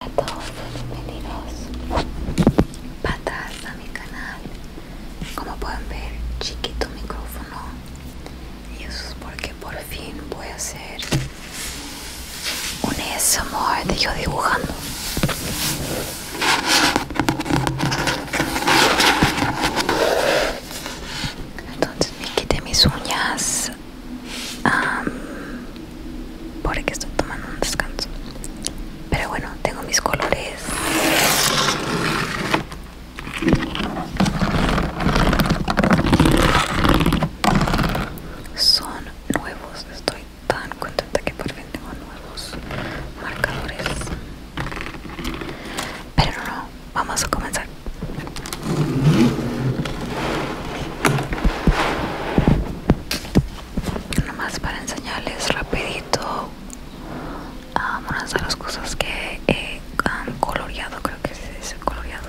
A todos bienvenidos patas a mi canal como pueden ver chiquito micrófono y eso es porque por fin voy a hacer un ASMR de yo dibujando entonces me quité mis uñas por porque estoy tomando un descanso. Pero bueno, tengo mis colores. Son nuevos, estoy tan contenta que por fin tengo nuevos marcadores pero no vamos a comenzar nomás para enseñarles rapidito vamos um, de las cosas que han coloreado creo que se dice coloreado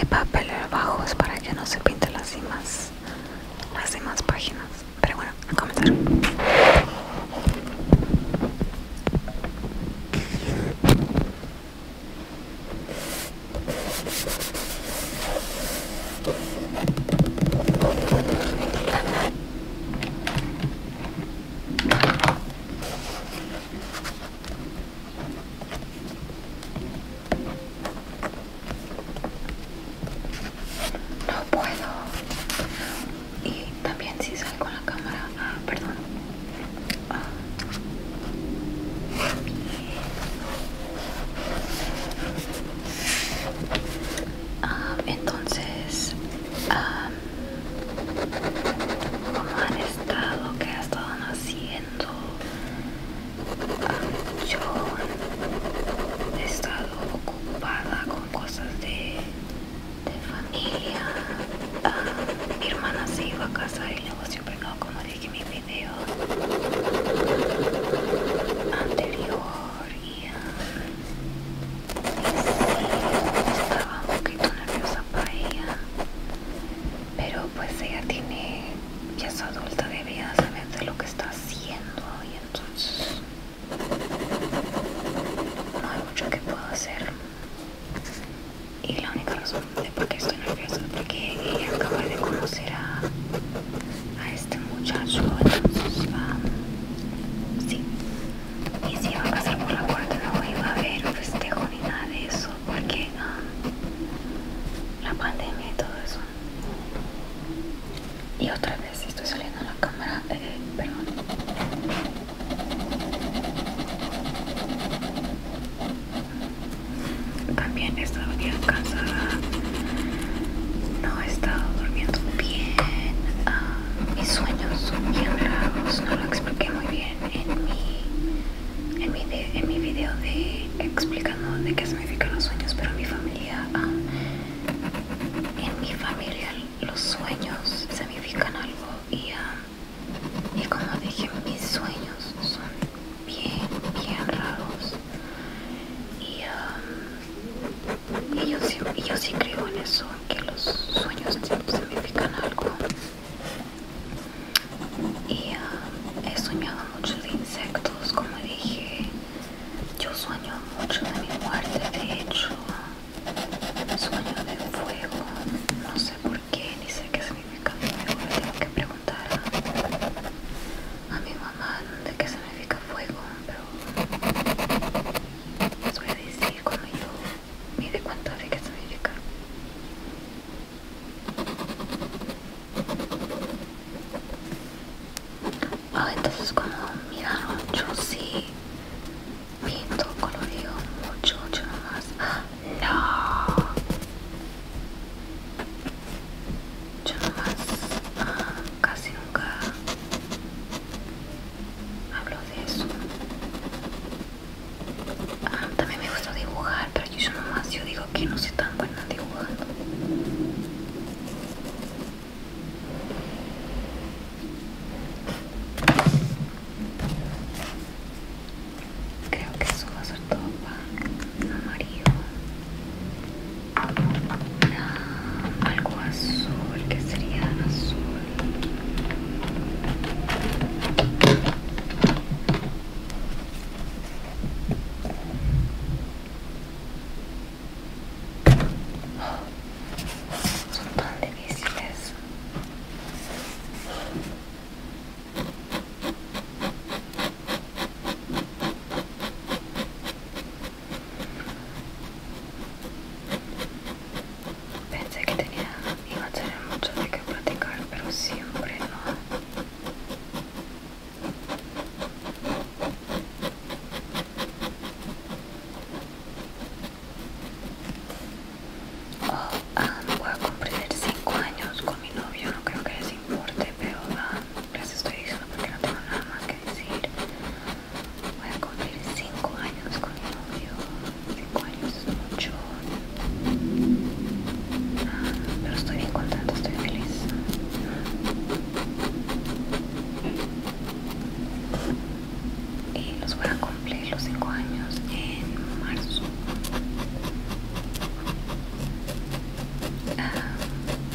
el papel abajo es para que no se pinte las demás, las demás páginas. Pero bueno, a comenzar. No puedo. Y también si salgo con la cámara. Ah, perdón. Ah. entonces, ah cómo han estado, qué ha estado haciendo. yo he estado ocupada con cosas de, familia. Ah, mi hermana se iba a casa y el siempre no, como dije en mi video anterior estaba un poquito nerviosa para ella pero pues ella tiene ya es adulta debía saber de lo que está haciendo y entonces no hay mucho que pueda hacer y la única razón de por qué estoy nerviosa es porque ella acaba de conocer a este muchacho, Sí. Y si iba a pasar por la puerta, no iba a haber un festejo ni nada de eso, porque ah, la pandemia y todo eso. Y otra vez estoy saliendo la cámara, eh, perdón. También estaba bien cansada no he estado durmiendo bien. Ah, mis sueños son bien raros. No lo expliqué muy bien en mi, en mi, en mi video de explicando de qué significan los sueños, pero en mi familia, ah, en mi familia los sueños significan algo y, ah, y como dije, mis sueños son bien, bien raros. Y y yo sí, yo sí creo en eso, que los sueños significan algo. Y ah, he soñado mucho de insectos, como dije. Yo sueño mucho de mi muerte, de hecho. Sueño de fuego. No sé por qué, ni sé qué significa fuego. tengo que preguntar a mi mamá de qué significa fuego pero les voy a decir como yo me di cuenta de que significa. ah entonces como mira yo sí pinto, colorido mucho, yo nomás. ¡Ah! ¡No! yo nomás casi nunca hablo de eso ah, también me gusta dibujar pero yo nomás yo digo que no soy tan buena dibujando Creo que eso va a ser todo para amarillo algo azul que sería azul son tan difíciles Pensé que tenía, iba a tener mucho de qué platicar, pero siempre no. Oh, ah, voy a cumplir 5 años con mi novio, no creo que les importe, pero va ah, les estoy diciendo porque no tengo nada más que decir. Voy a cumplir 5 años con mi novio. 5 años es mucho. Ah, pero estoy bien contenta, estoy feliz. Y los voy a cumplir los 5 años en marzo. Ah,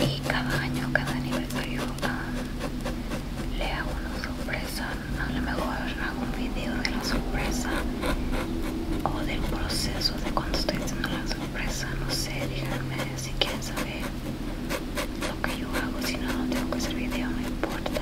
y cada año, cada aniversario ah, le hago una sorpresa, a lo mejor hago un video de la sorpresa o del proceso de cuando estoy haciendo la sorpresa, no sé, díganme si quieren saber lo que yo hago, si no, no tengo que hacer video, no importa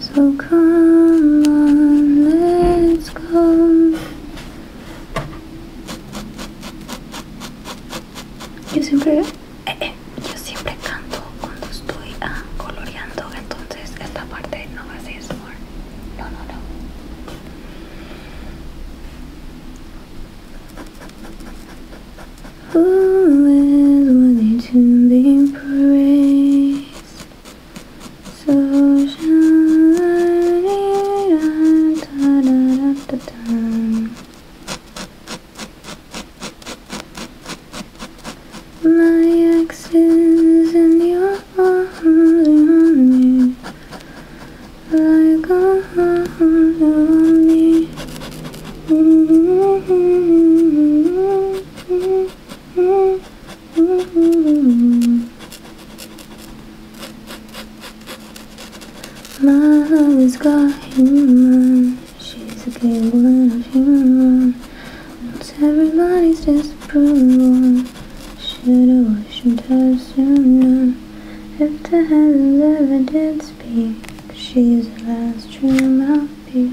So come on, let's go. Yo siempre, eh, eh yo siempre canto cuando estoy ah, coloreando, entonces esta parte no va a ser smart. No, no, no. Who is worthy to be praised? So shiny, My ex is in your arms, me like arms on me. Love is got human. She's a gambling of human. It's everybody's disapproval. Should've worshipped her sooner. If the heavens ever did speak, she's the last true mouthpiece.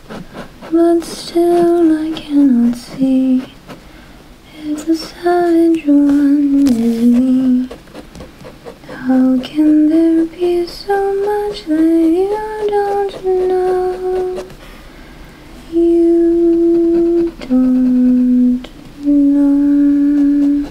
But still I cannot see If the savage one is me How can there be so much that you don't know? You don't know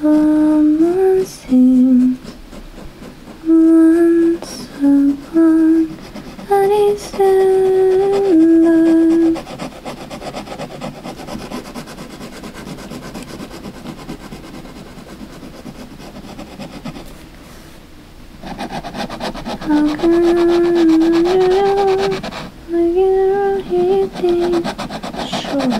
Someone seems once upon a December How can I do? I get a heating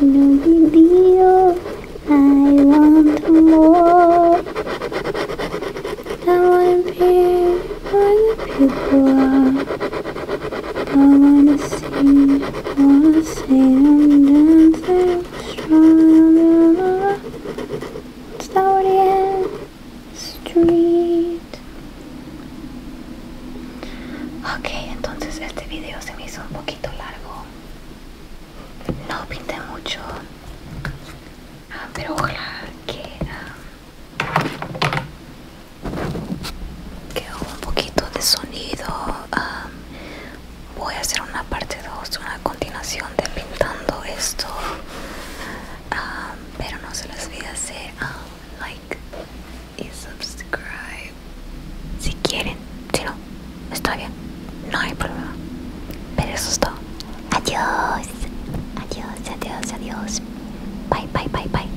no big deal. I want more. I want to be where the people are. I want to sing, I want to sing and dance and strong. Starting street. Ok, entonces este video se me hizo un poquito largo. No pinté mucho, ah, pero ojalá que, ah, que un poquito de sonido. Ah, voy a hacer una parte 2, una continuación de pintando esto, pero no se les olvide hacer like, y subscribe si quieren, si no, está bien, no hay problema. Pero eso es todo. Adiós, adiós, adiós, adiós. Bye, bye, bye, bye.